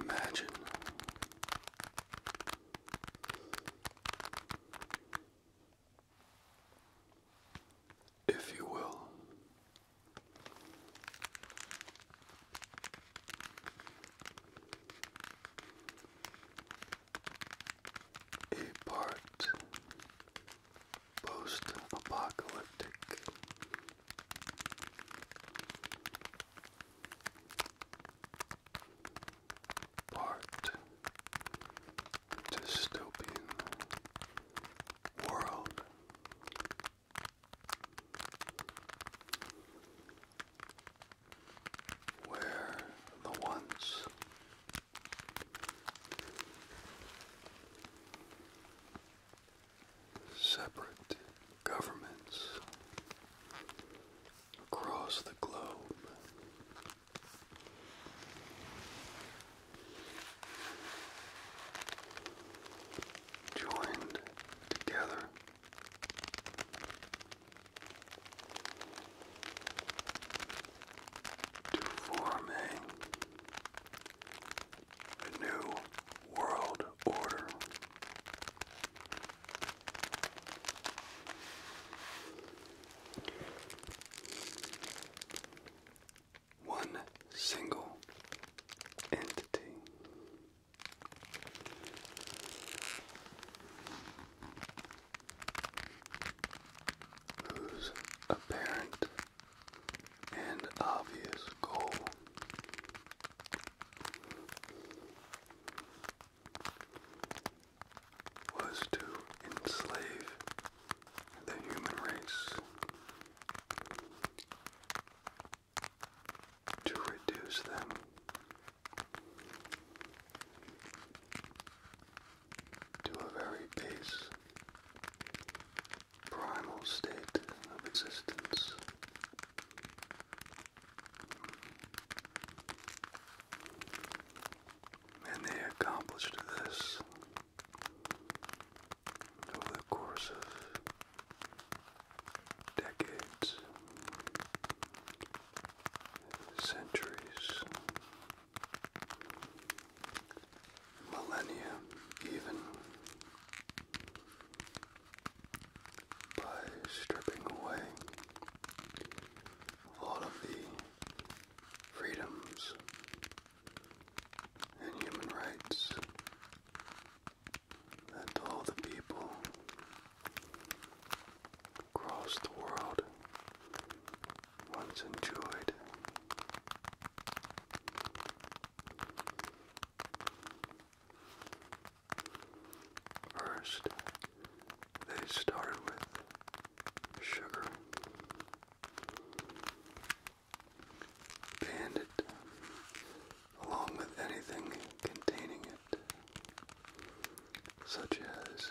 Imagine if you will a part post-apocalyptic. Part dystopian world. Where the once Separate governments across the globe. Joined together to form a a new world order. One single entity. Whose apparent and obvious goal. Was to enslave the human race, to reduce them to a very base, primal state of existence. And they accomplished this over the course of decades, centuries, millennia even by stripping away all of the freedoms and human rights that all the people across the world once enjoyed First, they started with sugar, banned it along with anything containing it, such as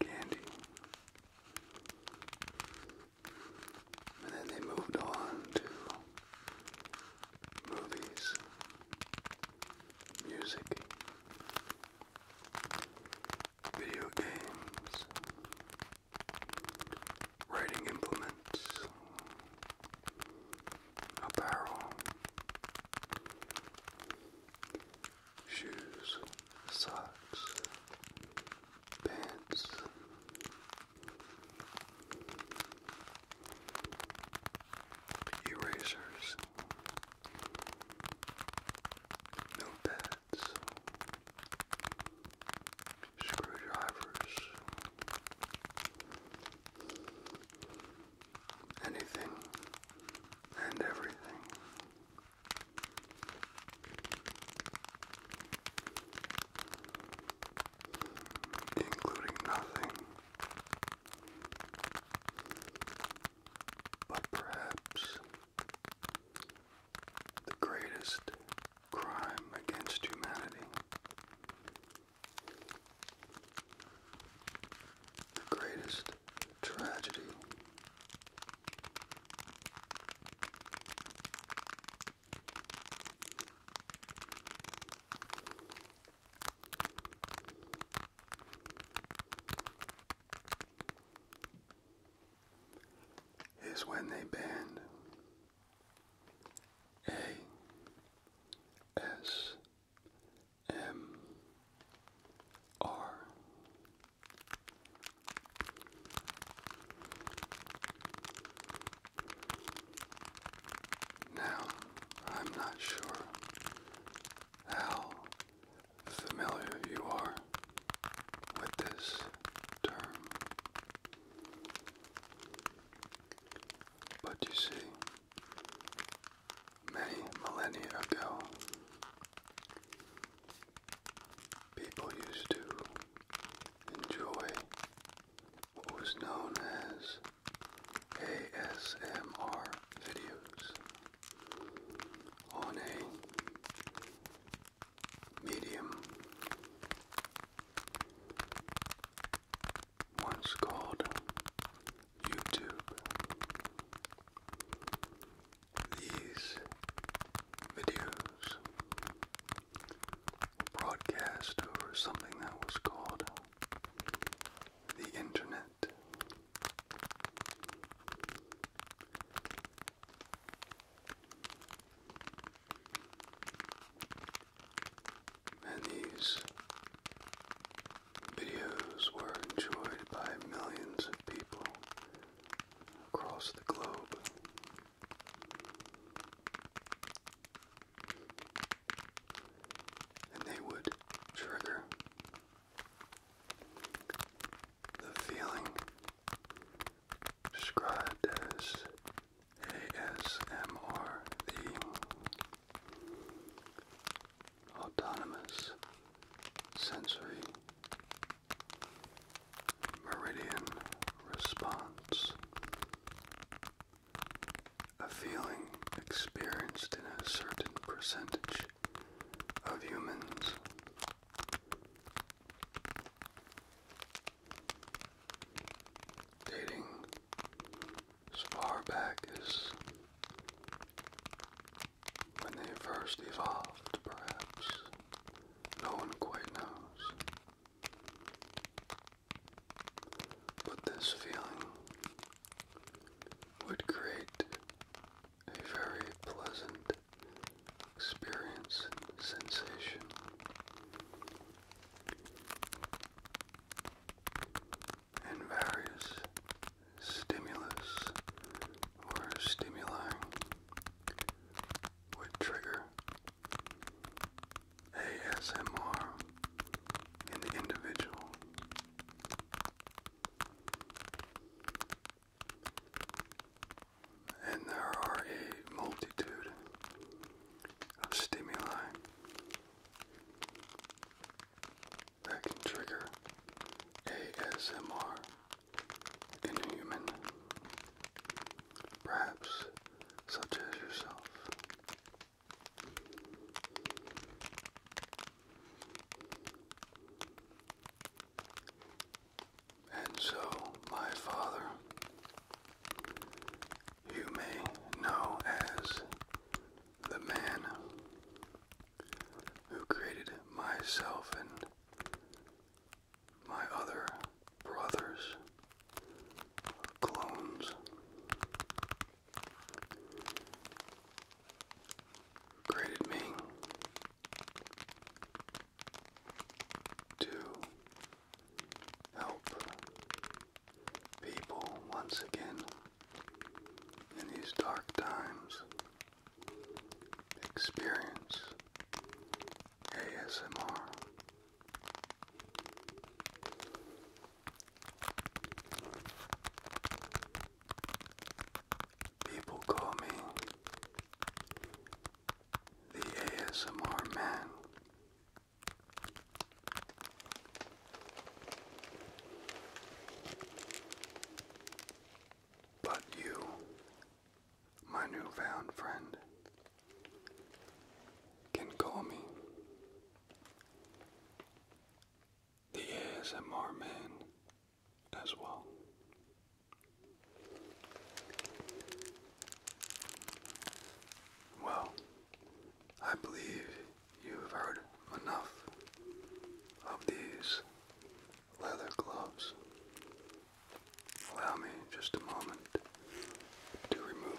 candy. And then they moved on to movies, music, video games, writing implements, apparel, shoes, socks, pants. Erasers, notepads, screwdrivers, anything and everything including nothing but perhaps the greatest crime against humanity, the greatest tragedy is when they bend. A S M R now, I'm not sure how familiar you are with this term, but you see, many millennia ago, people used to enjoy what was known as ASMR videos on a medium once called YouTube. These videos broadcast over something that was called the internet. And these videos were enjoyed by millions of people across the globe and they would trigger the feeling described as ASMR, the autonomous sensory meridian response. A feeling experienced in a certain percentage of humans. Dating far back as when they first evolved, perhaps. No one quite knows. But this feeling would create a very pleasant experience sensation. And various stimulus or stimuli would trigger ASMR in the individual. And there are a multitude of stimuli that can trigger ASMR in a perhaps such as yourself. And so, my father, you may know as the man who created myself and my other brothers, clones. Created me to help people once again in these dark times experience ASMR. People call me the ASMR man. But you my new found friend can call me the ASMR man as well. Well, I believe you've heard enough of these leather gloves. Allow me just a moment to remove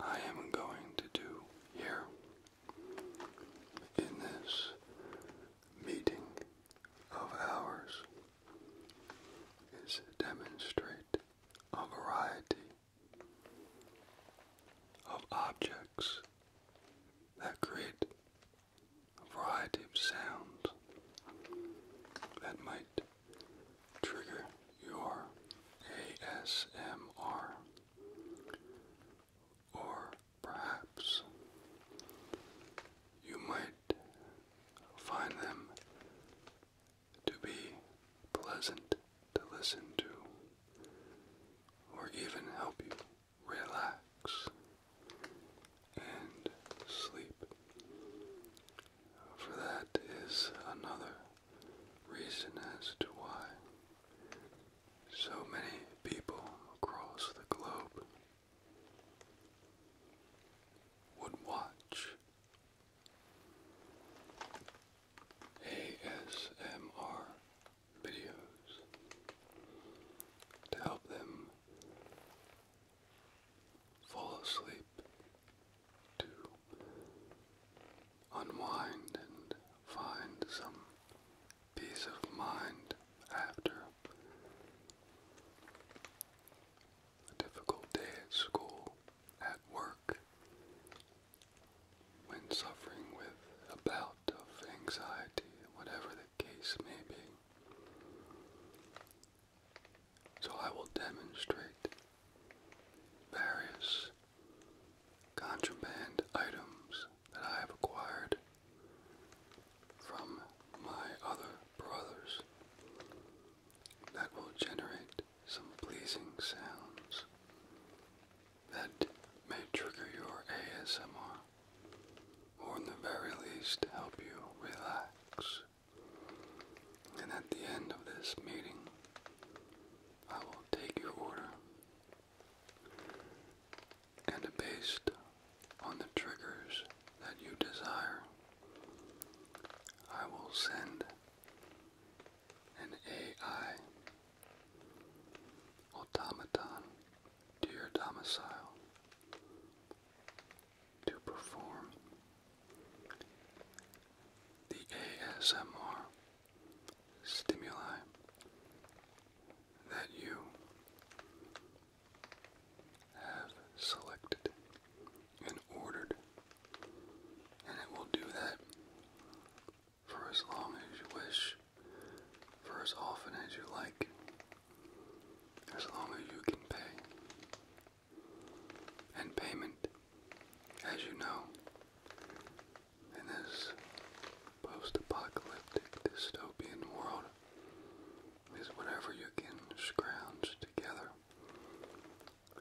I am going to do here in this meeting of ours is demonstrate a variety of objects that create a variety of sounds that might Trigger your ASMR. Or perhaps you might find them to be pleasant to listen to, or even help you relax and sleep. For that is another reason as to why so many people across the globe would watch ASMR videos to help them fall asleep to unwind and find some peace of mind after a difficult day at school, at work, when suffering with a bout of anxiety, whatever the case may be. So I will demonstrate various contraband items that I have acquired from my other brothers that will generate some pleasing sounds that may trigger your ASMR or in the very least help you relax. And at the end of this meeting, I will take your order and based on the triggers that you desire, I will send an AI automaton to your domicile to perform the ASMR stimuli that you have selected and ordered, and it will do that for as long as you wish, for as often as you like, as long as you can pay. And payment, as you know, in this post-apocalyptic dystopian world is whatever you can scrounge together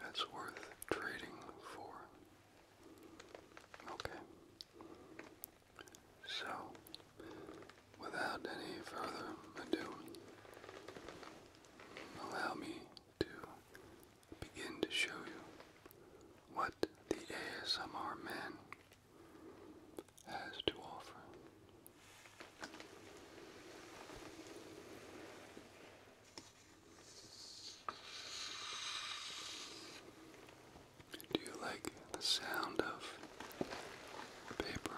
that's worth trading for. Okay. So, without any further ado, allow me to begin to show you what the ASMR man has to offer. Do you like the sound of paper?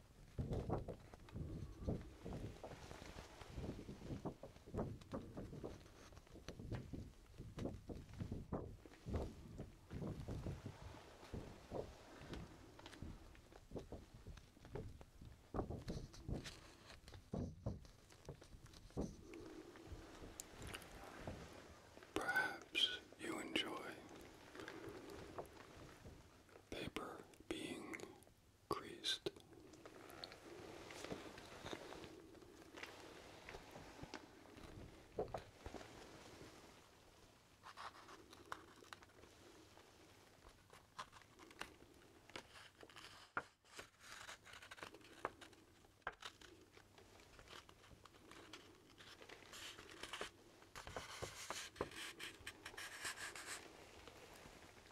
Perhaps you enjoy paper being creased.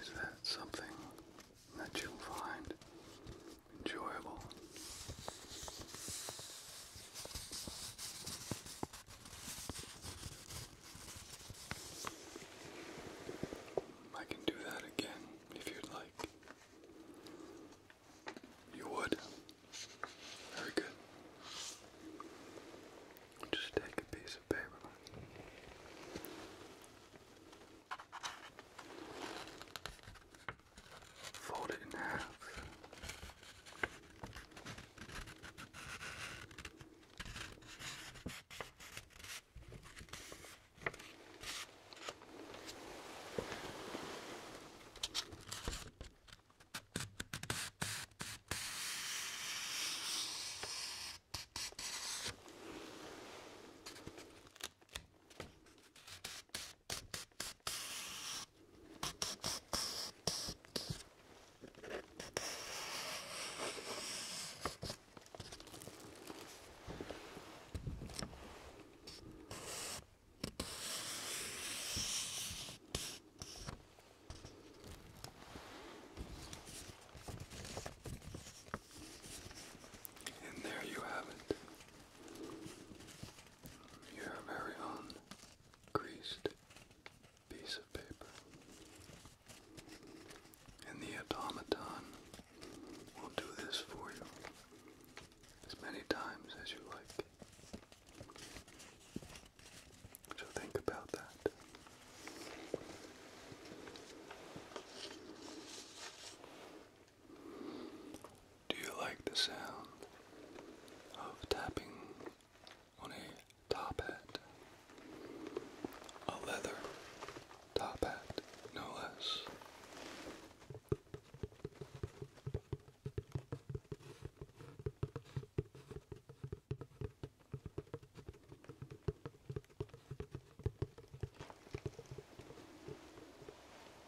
Is that something that you'll find enjoyable? I can do that again if you'd like. You would? Very good. Just take a piece of paper fold it in half. And there you have it. Your very own greased piece of paper. And the automaton will do this for you as many times as you like. So think about that. Do you like the sound of tapping on a top hat? A leather top hat, no less.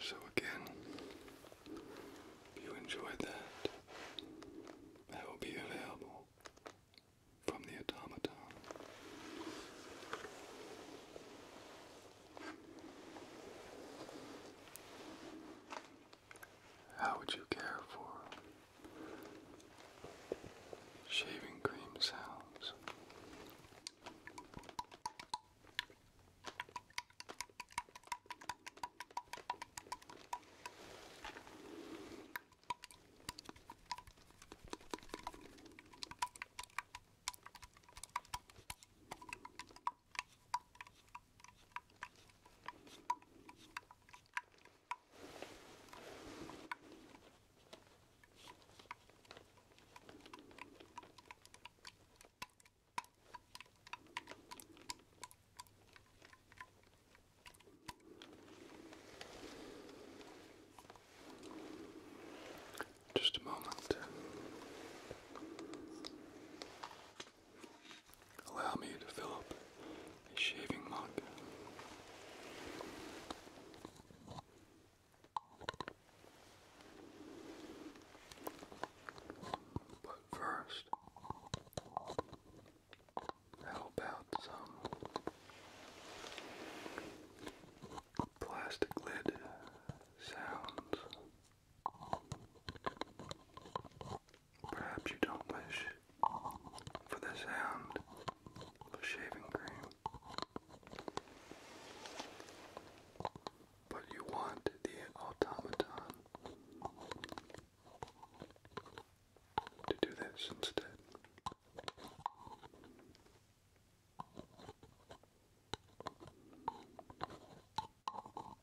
So, again, if you enjoyed that, that will be available from the automaton. How would you care for shaving cream sounds? Just a moment. Allow me to fill up a shaving mug. But first, how about some plastic lid sounds? Perhaps you don't wish for the sound of shaving cream, but you want the automaton to do this instead.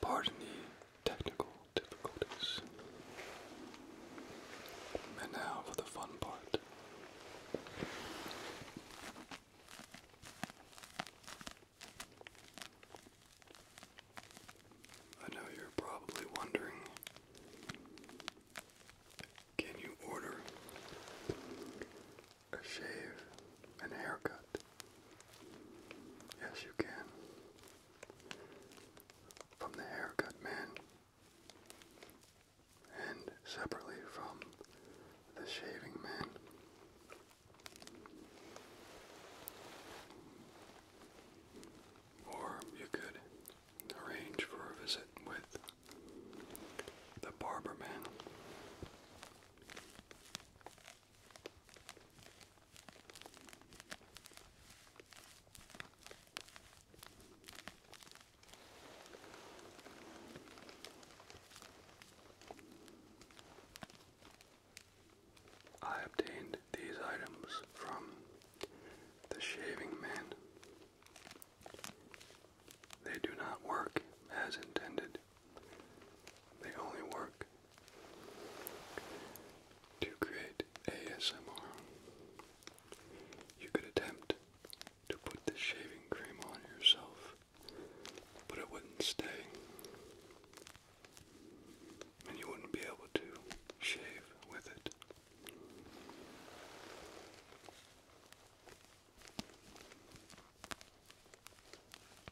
Pardon the technical difficulties. And now for the fun part. I know you're probably wondering can you order a shave and haircut? Yes, you can from the haircut man and separately from the shaving man. Or you could arrange for a visit with the barber man. I obtained these items from the shaving man. They do not work as intended. They only work to create ASMR, you could attempt to put the shaving cream on yourself, but it wouldn't stay, and you wouldn't be able to shave with it.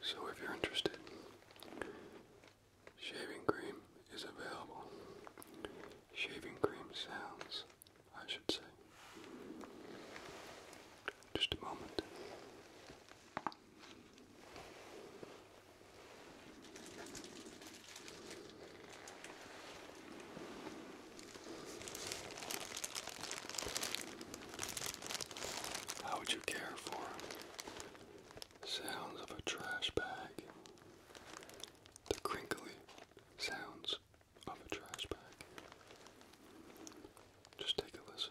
So if you're interested, shaving cream is available. Shaving cream sounds, I should say. Just a moment. How would you care for sounds of a trash bag? The crinkly sounds of a trash bag. Just take a listen.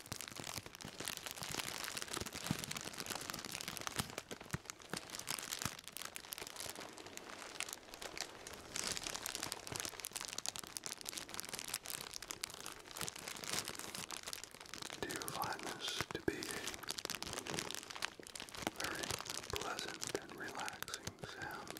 Do you find this to be a very pleasant and relaxing sound?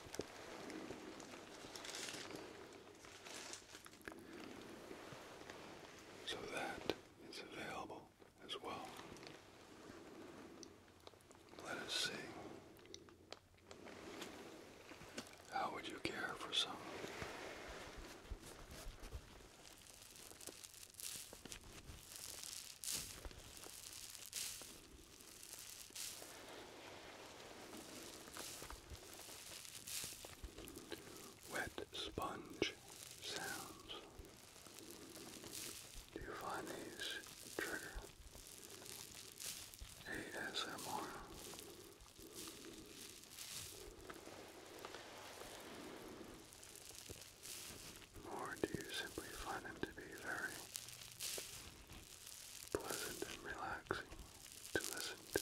So that is available as well. Let us see. How would you care for some? Wet sponge sounds. Do you find these trigger ASMR? Or do you simply find them to be very pleasant and relaxing to listen to.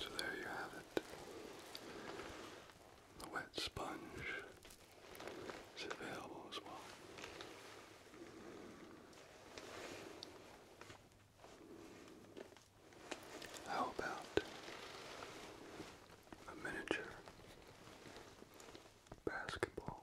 So there you have it. The wet sponge is available as well. How about a miniature basketball?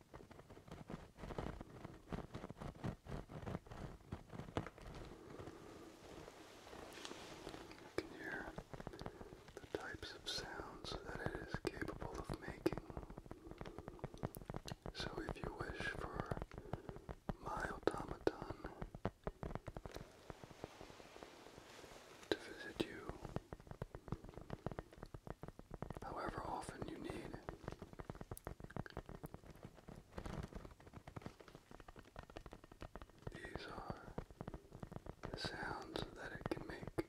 You can hear the types of sounds that it is capable of making. So if you wish for my automaton to visit you however often you need, these are the sounds that it can make.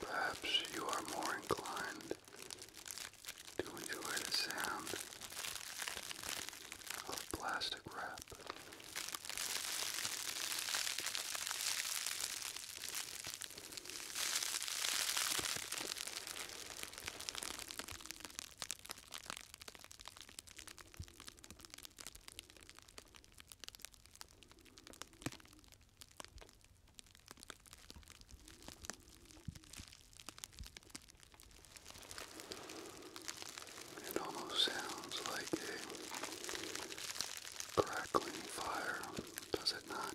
Perhaps you are more inclined to enjoy the sound of plastic wrap. It almost sounds like a crackling fire, does it not?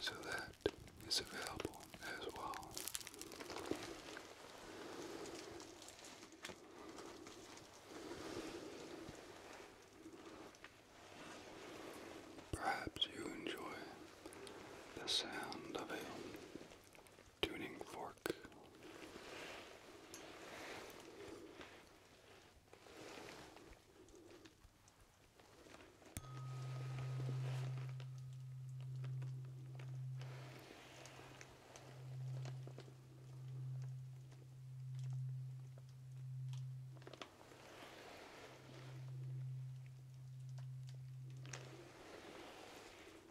So that is available as well. Perhaps you enjoy the sound of him tuning fork.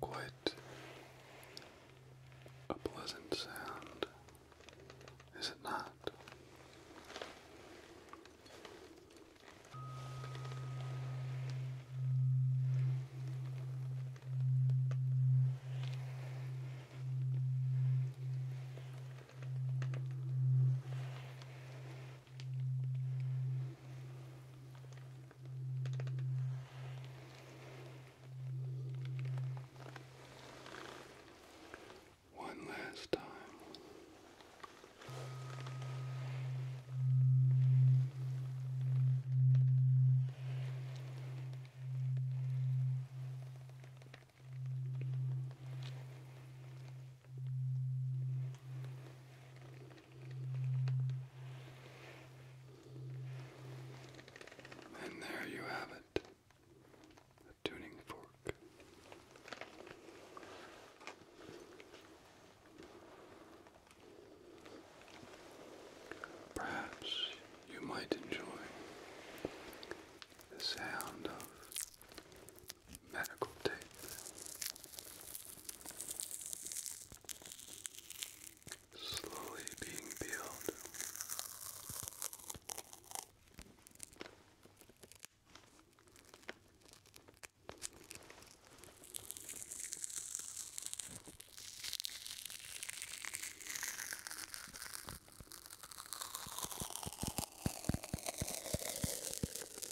Quite a pleasant sound, is it not? One last time. And there you have it a tuning fork. Perhaps you might enjoy the sound of medical tape. Slowly being peeled.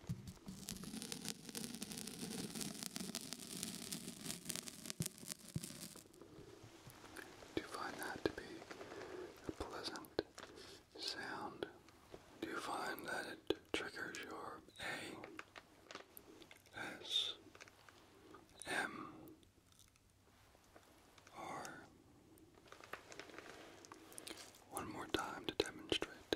Do you find that to be a pleasant sound? Do you find that it triggers your A, S, M, R? One more time to demonstrate.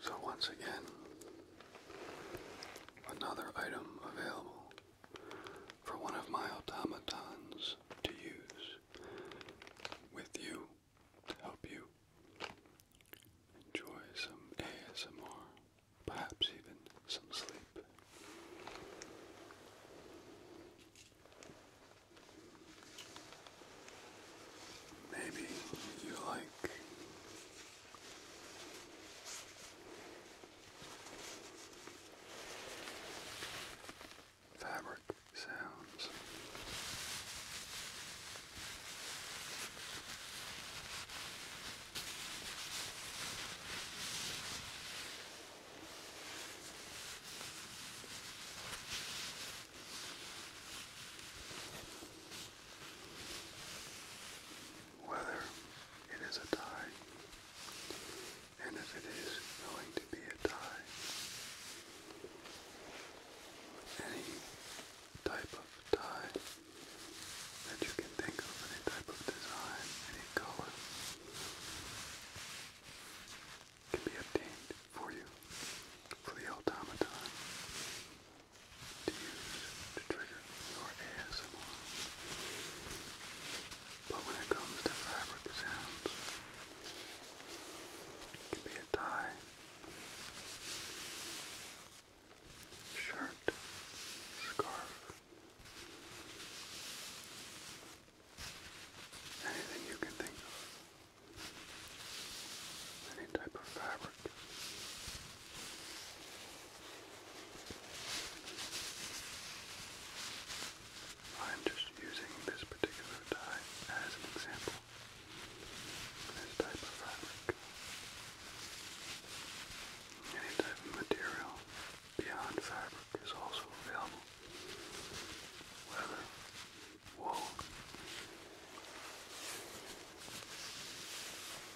So, once again, Another item available for one of my automatons to use with you to help you enjoy some ASMR, perhaps even some sleep. Maybe you like Fabric sounds whether it is a tie, and if it is going to be a tie, any type of tie that you can think of, any type of design, any color, can be obtained for you for the automaton to use to trigger your ASMR. But when it comes to fabric sounds, it can be a tie, shirt, scarf, anything you can think of. Any type of fabric I'm just using this particular dye as an example. This type of fabric. Any type of material beyond fabric is also available. Leather, wool,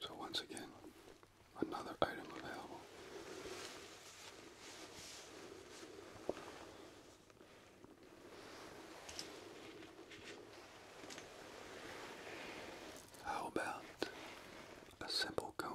So once again, another item available. How about a simple comb?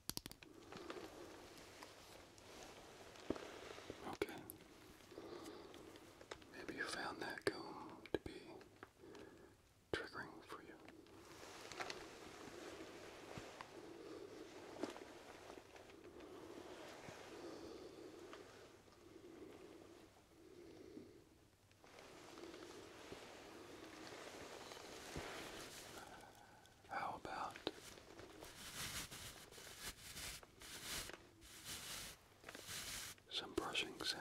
Okay. Maybe you found that comb to be triggering for you. How about some brushing sounds?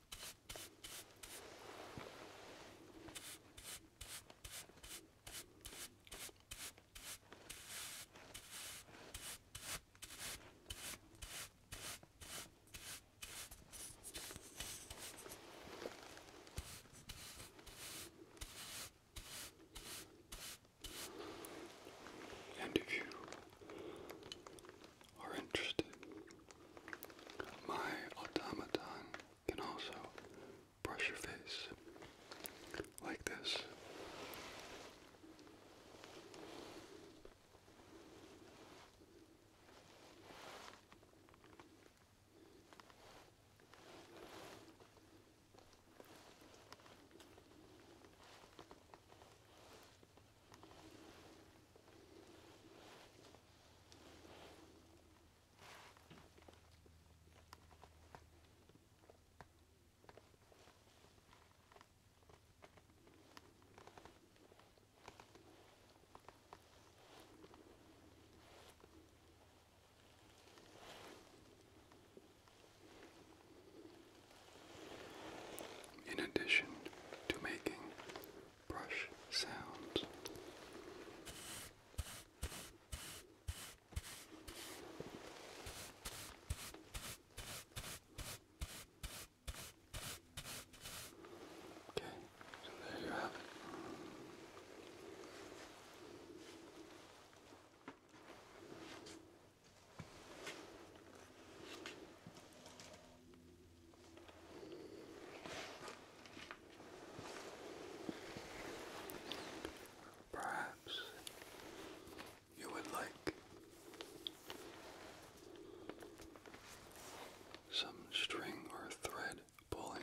And if you are interested. My automaton can also brush your face like this. In addition to making brush sound. Okay, so there you have it. Perhaps you would like some string or thread pulling.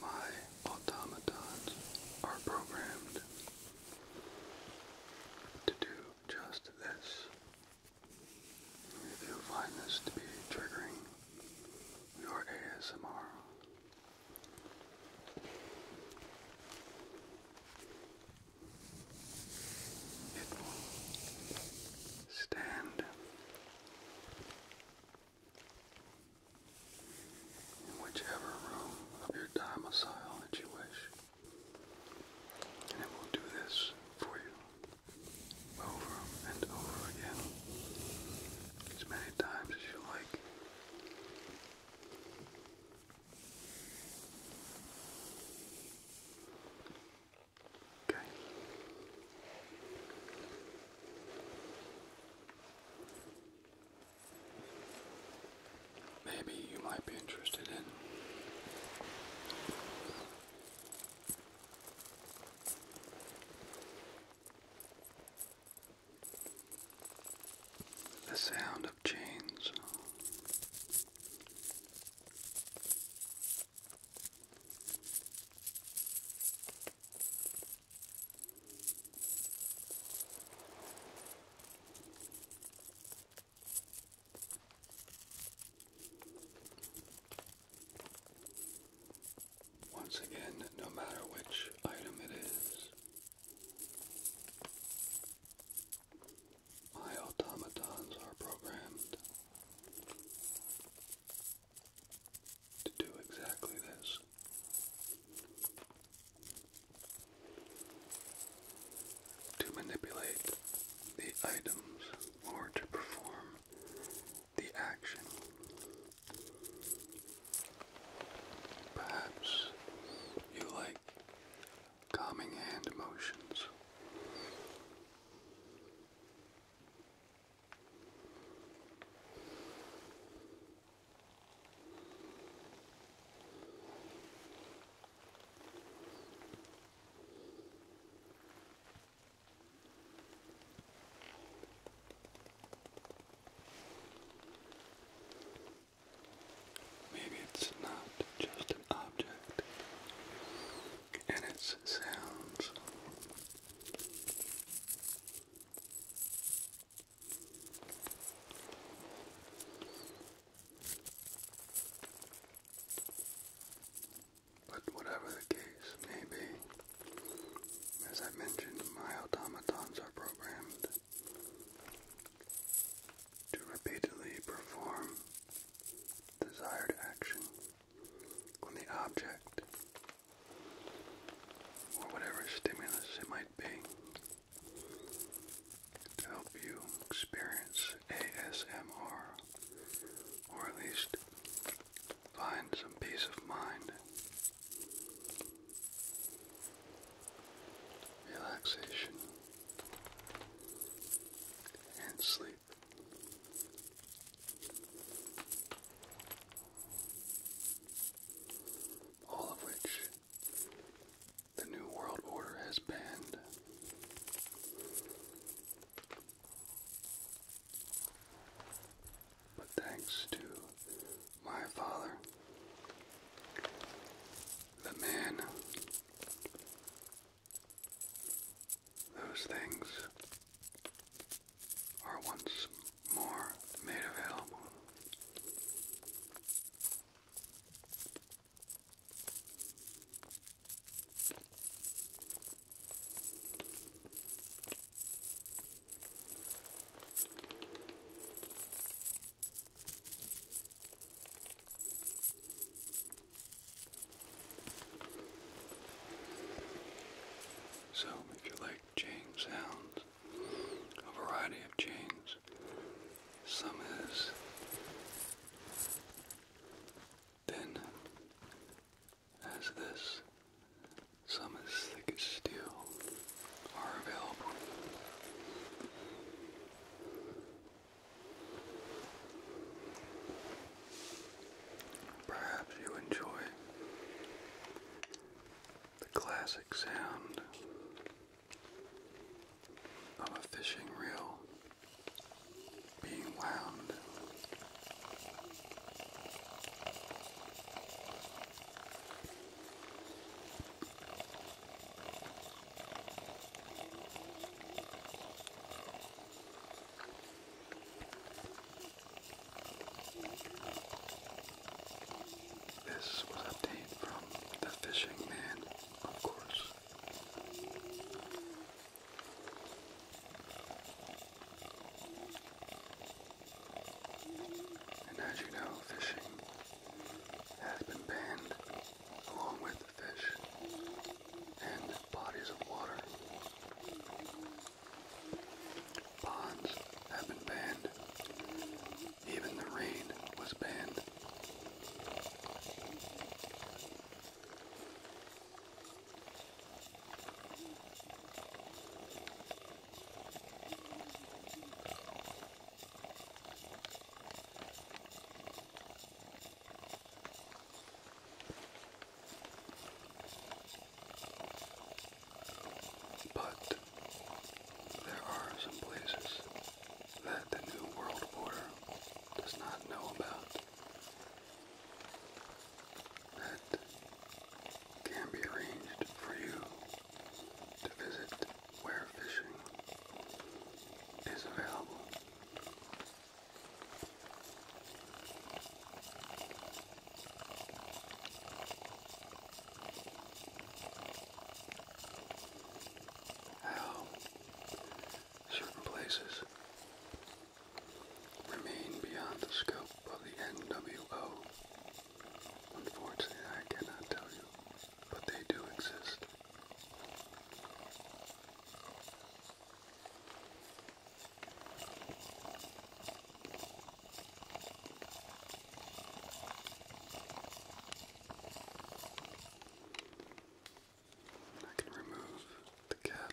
My automatons are programmed to do just this. If you find this to be triggering your ASMR, it will stand in whichever room of your domicile that you wish. And it will do this for you over and over again as many times as you like. Maybe you might be interested in. The sound of chains. Once again, no matter which item it is, my automatons are programmed to do exactly this. To manipulate the items or to perform the action. Perhaps you like calming hand motions. Maybe it's not just an object and its sounds but whatever the case may be, as I mentioned, my automatons are programmed to repeatedly perform desired action on the object or whatever stimulus it might be to help you experience ASMR or at least find some peace of mind. Relaxation and sleep. All of which the New World Order has banned. But thanks to my father, the man, those things are once more made available. So if you like chain sounds, a variety of chains, some as thin as this, some as thick as steel are available. Perhaps you enjoy the classic sound of a fishing reel being wound. This was obtained from the fishing man, of course. And as you know, fishing has been banned along with fish and bodies of water. Ponds have been banned. Even the rain was banned. But there are some places that the New World Order does not know about that can be arranged for you to visit where fishing is available. How certain places remain beyond the scope of the NWO. Unfortunately, I cannot tell you, but they do exist. I can remove the cap.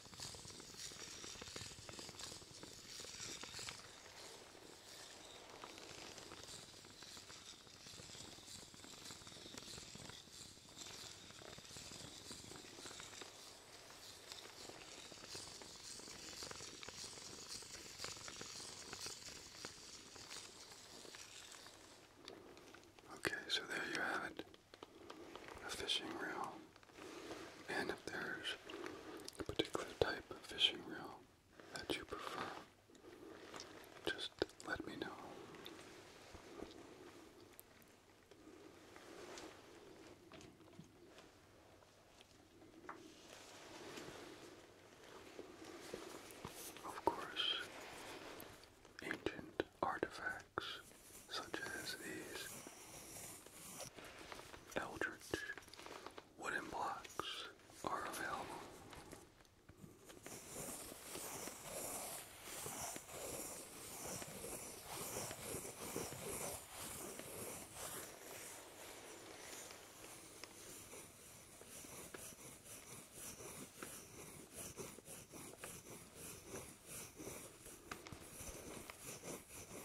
Okay, so there you have it. A fishing reel and if there's a particular type of fishing reel that you prefer, just let me know. Of course, ancient artifacts such as these Eldritch wooden blocks are available.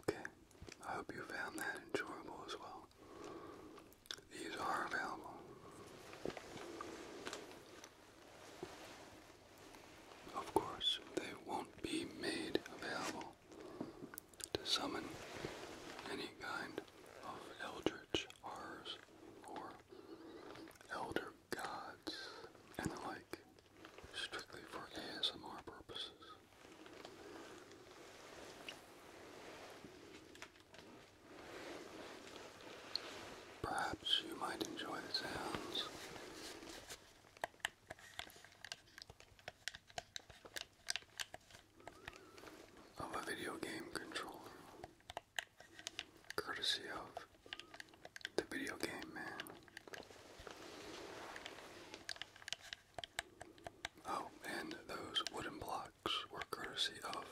Okay, I hope you found that enjoyable as well. These are available. Of course, they won't be made available to summon any kind of eldritch horrors or elder gods and the like, strictly for ASMR purposes. Perhaps you might enjoy the sounds of a video game controller, courtesy of the video game man. Oh, and those wooden blocks were courtesy of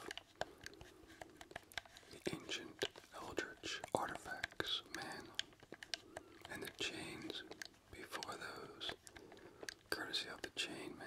the ancient eldritch artifacts man and the chains before those. Courtesy of the chain, man.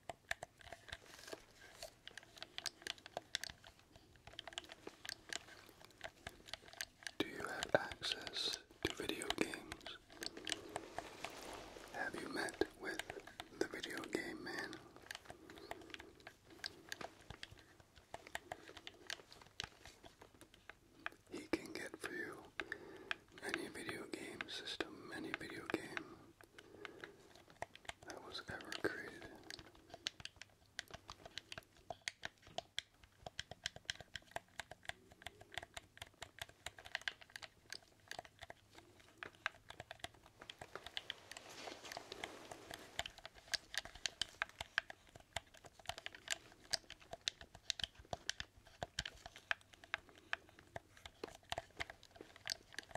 Do you have access to video games? Have you met with the video game man? He can get for you any video game system, any video game that was ever created.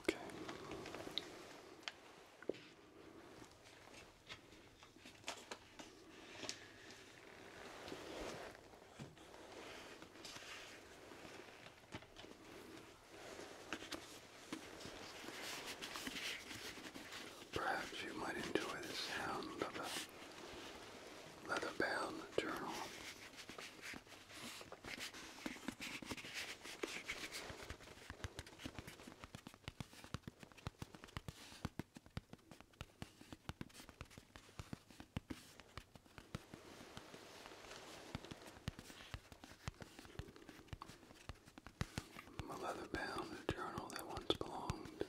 Okay. Perhaps you might enjoy the sound of leather-bound journal. A leather bound journal that once belonged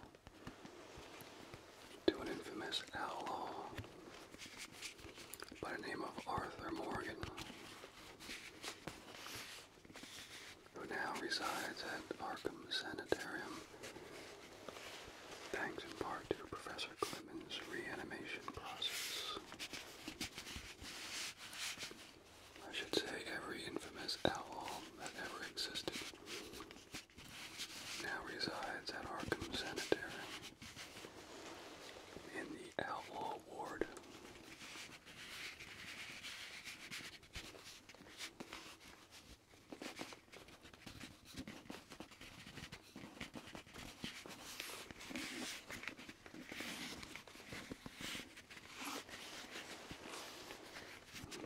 to an infamous outlaw by the name of Arthur Morgan, who now resides at Arkham Sanitarium, thanks in part to Professor Clemens' reanimation process. I should say every infamous owl that ever existed now resides at Arkham Sanitarium in the Outlaw Ward.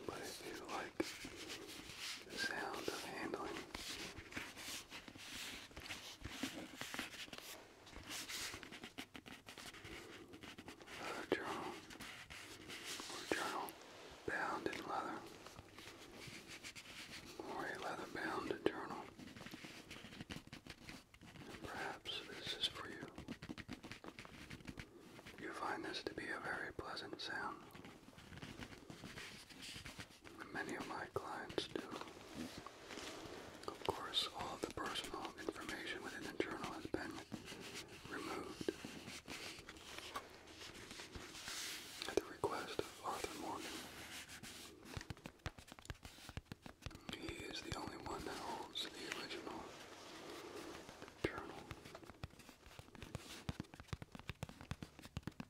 But if you like the sound of handling a journal or journal bound in leather or a leather bound journal. perhaps this is for you. You find this to be a very pleasant sound. Many of my clients do. Of course, all the personal information within the journal has been removed. At the request of Arthur Morgan, he is the only one that holds the original journal.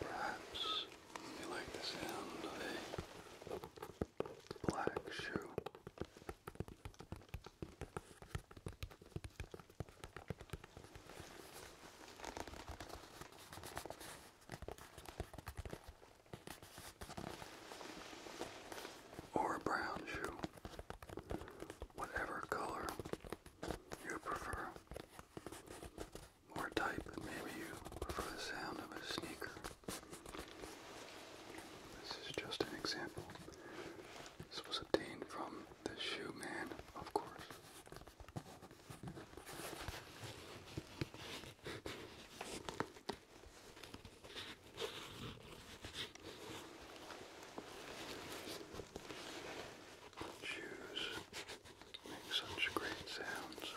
Perhaps you like the sound of a black shoe or a brown shoe, whatever color you prefer, or type, maybe you prefer the sound of a sneaker. This is just an example. This was obtained from the shoe man, of course. Shoes make such great sounds.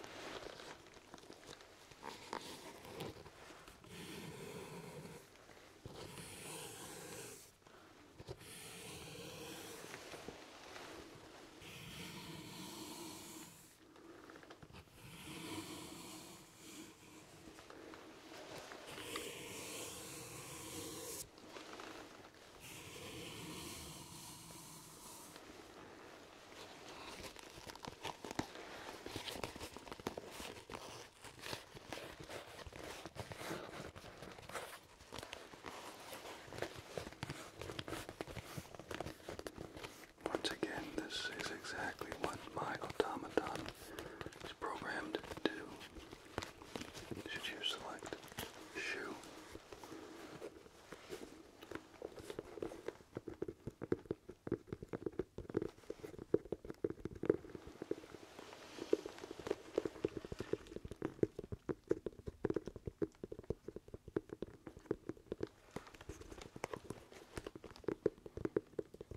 Once again, this is exactly what my automaton is programmed to Should you select shoe?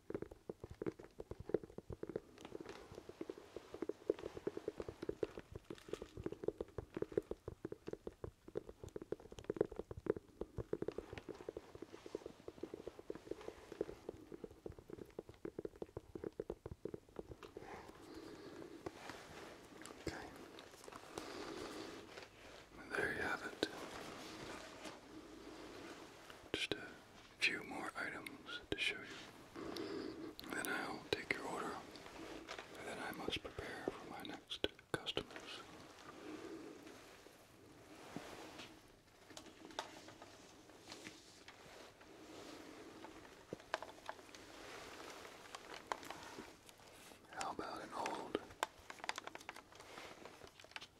Okay. There you have it. Just a few more items to show you. Then I'll take your order, then I must prepare for my next customers. How about an old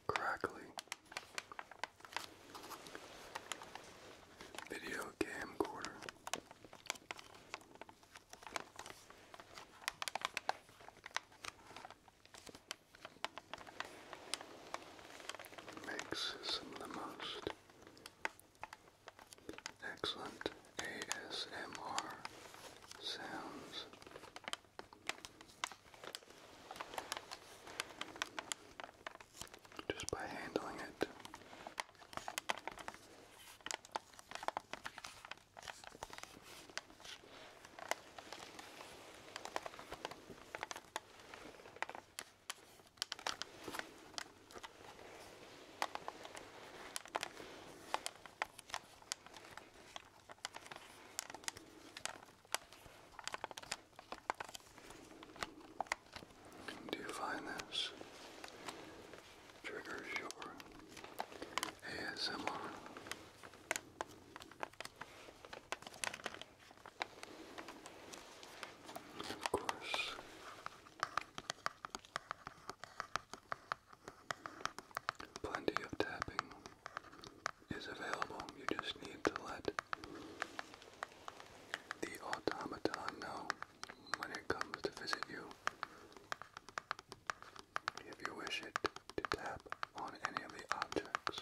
crackly. Video camcorder. Makes some of the most excellent ASMR sounds just by handling it. Do you find this triggers your ASMR? Of course. Plenty of tapping is available. You just need to let the automaton know when it comes to visit you. If you wish it to tap on any of the objects.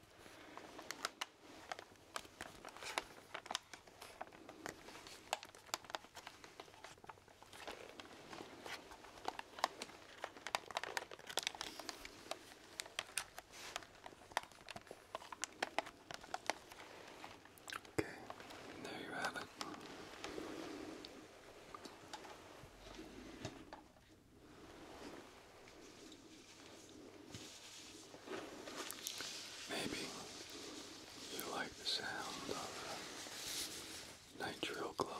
Okay, there you have it. Maybe you like the sound of nitrile gloves.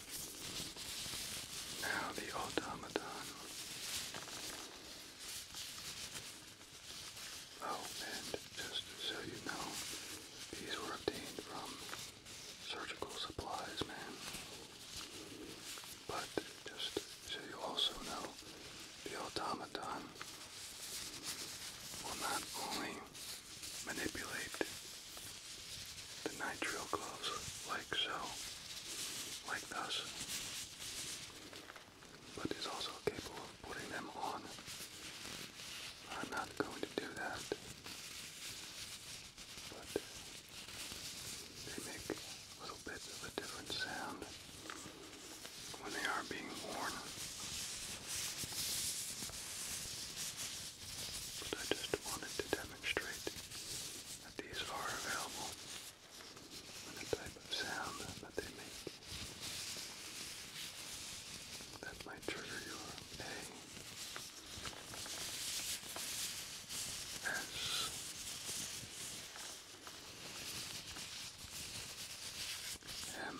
Now the automaton Oh, and just so you know, these were obtained from surgical supplies, man. But just so you also know, the automaton will not only manipulate the nitrile gloves like so, like this, but is also capable of putting them on. I'm not going to do that, but they make little bits of a different sound when they are being worn. But I just wanted to demonstrate that these are available and the type of sound that they make that might trigger your A S M N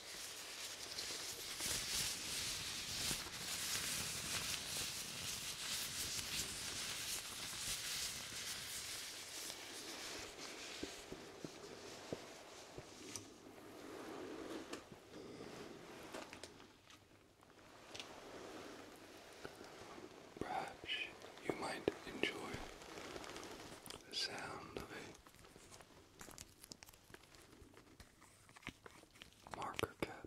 Perhaps you might enjoy the sound of a marker cap.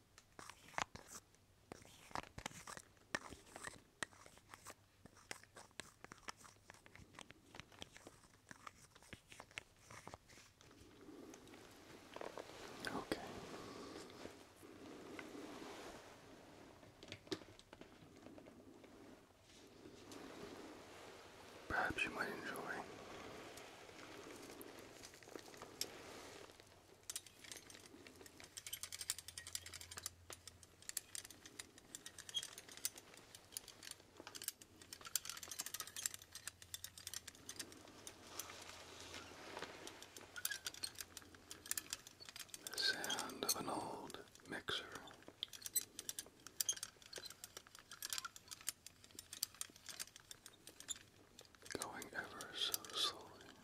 Okay. Perhaps you might enjoy the sound of an old mixer going ever so slowly.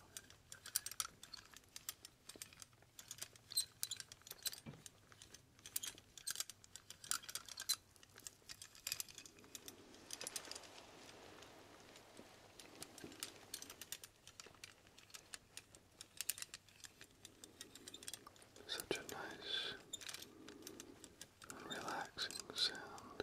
Such a nice relaxing sound.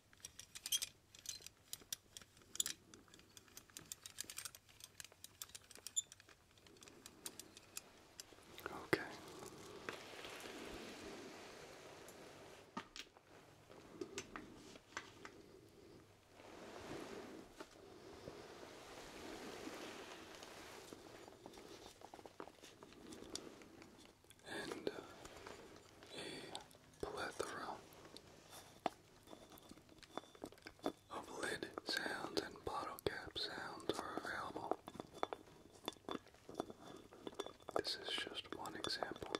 Okay. And uh, a plethora of lid sounds and bottle cap sounds are available. This is just one example.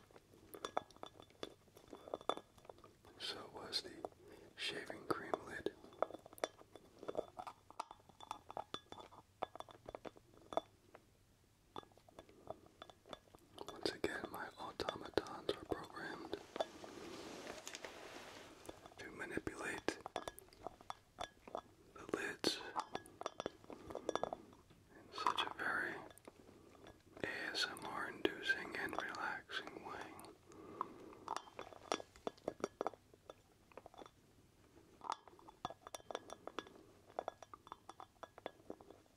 So was the shaving cream lid. Once again, my automatons are programmed to manipulate the lids in such a very ASMR inducing and relaxing way.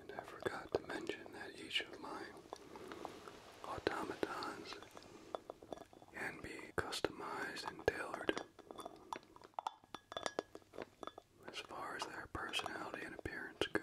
And I forgot to mention that each of my automatons can be customized and tailored as far as their personality and appearance goes.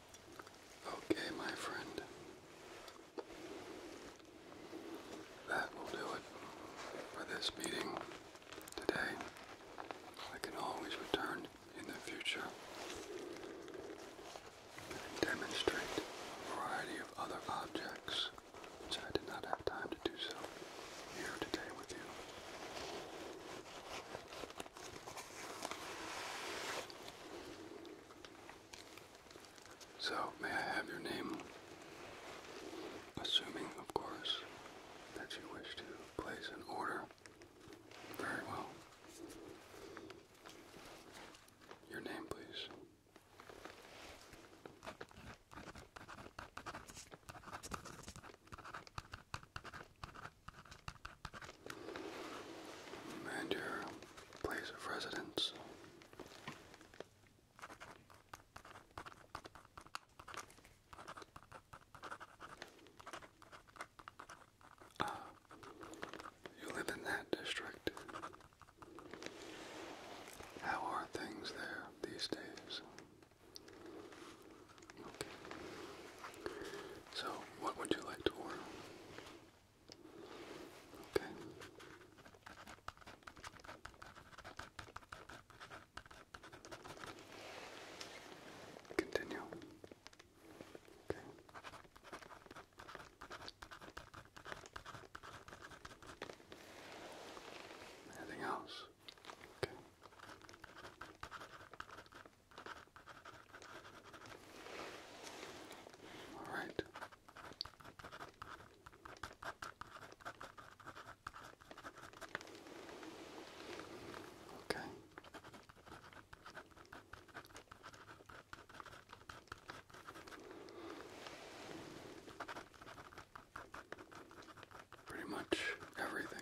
Okay, my friend. That will do it for this meeting today. I can always return in the future and demonstrate a variety of other objects which I did not have time to do so here today with you. So, may I have your name? Assuming, of course, that you wish to place an order. Very well. Your name, please. And your place of residence. Ah, you live in that district. How are things there these days? So, what would you like to order? Okay. Continue. Okay. Anything else? Okay. All right. Okay. Pretty much everything.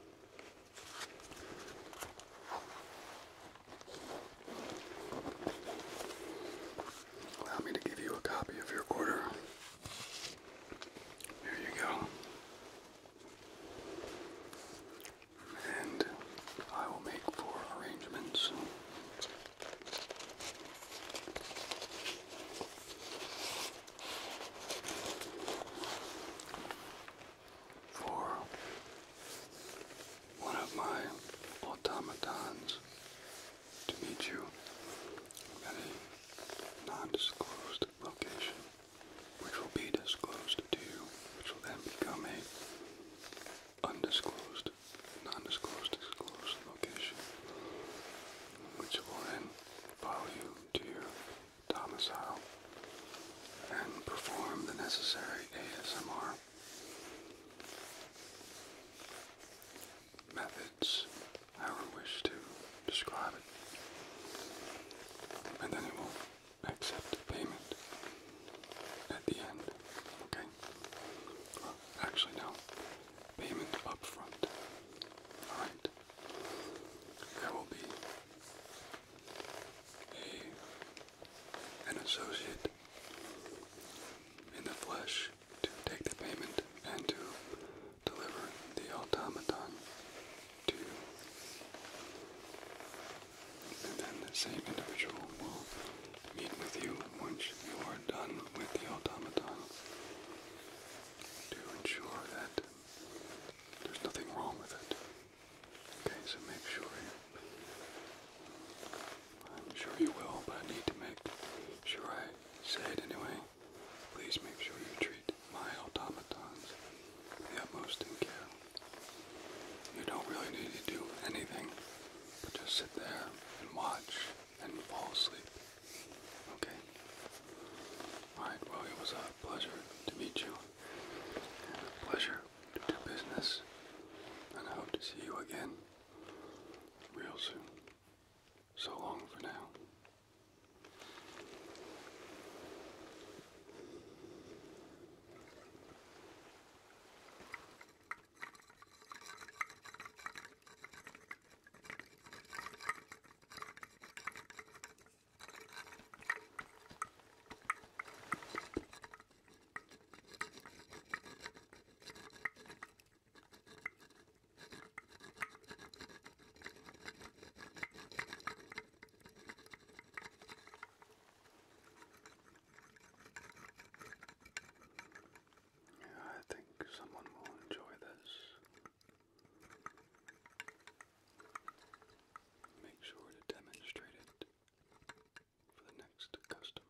Allow me to give you a copy of your order. Here you go. And I will make for arrangements for one of my automatons to meet you at a non-disclosed location, which will be disclosed to you, which will then become a undisclosed, non-disclosed, disclosed location, which will then follow you to your domicile and perform the necessary ASMR methods, however we wish to describe it, and then it will accept payment at the end, okay? Well, actually, no, payment up all right? I will be an associate in the flesh to take the payment and to deliver the automaton And then the same individual will meet with you once you are done with the automaton to ensure that there's nothing wrong with it. Okay, so make sure you, I'm sure you will, but I need to make sure I say it anyway. Please make sure you treat my automatons with the utmost in care. You don't really need to do anything, but just sit there and watch and fall asleep. Okay? Alright, well, it was a a pleasure to meet you, and a pleasure to do business, and I hope to see you again real soon. So long for now. Yeah, I think someone will enjoy this. Make sure to demonstrate it for the next customer.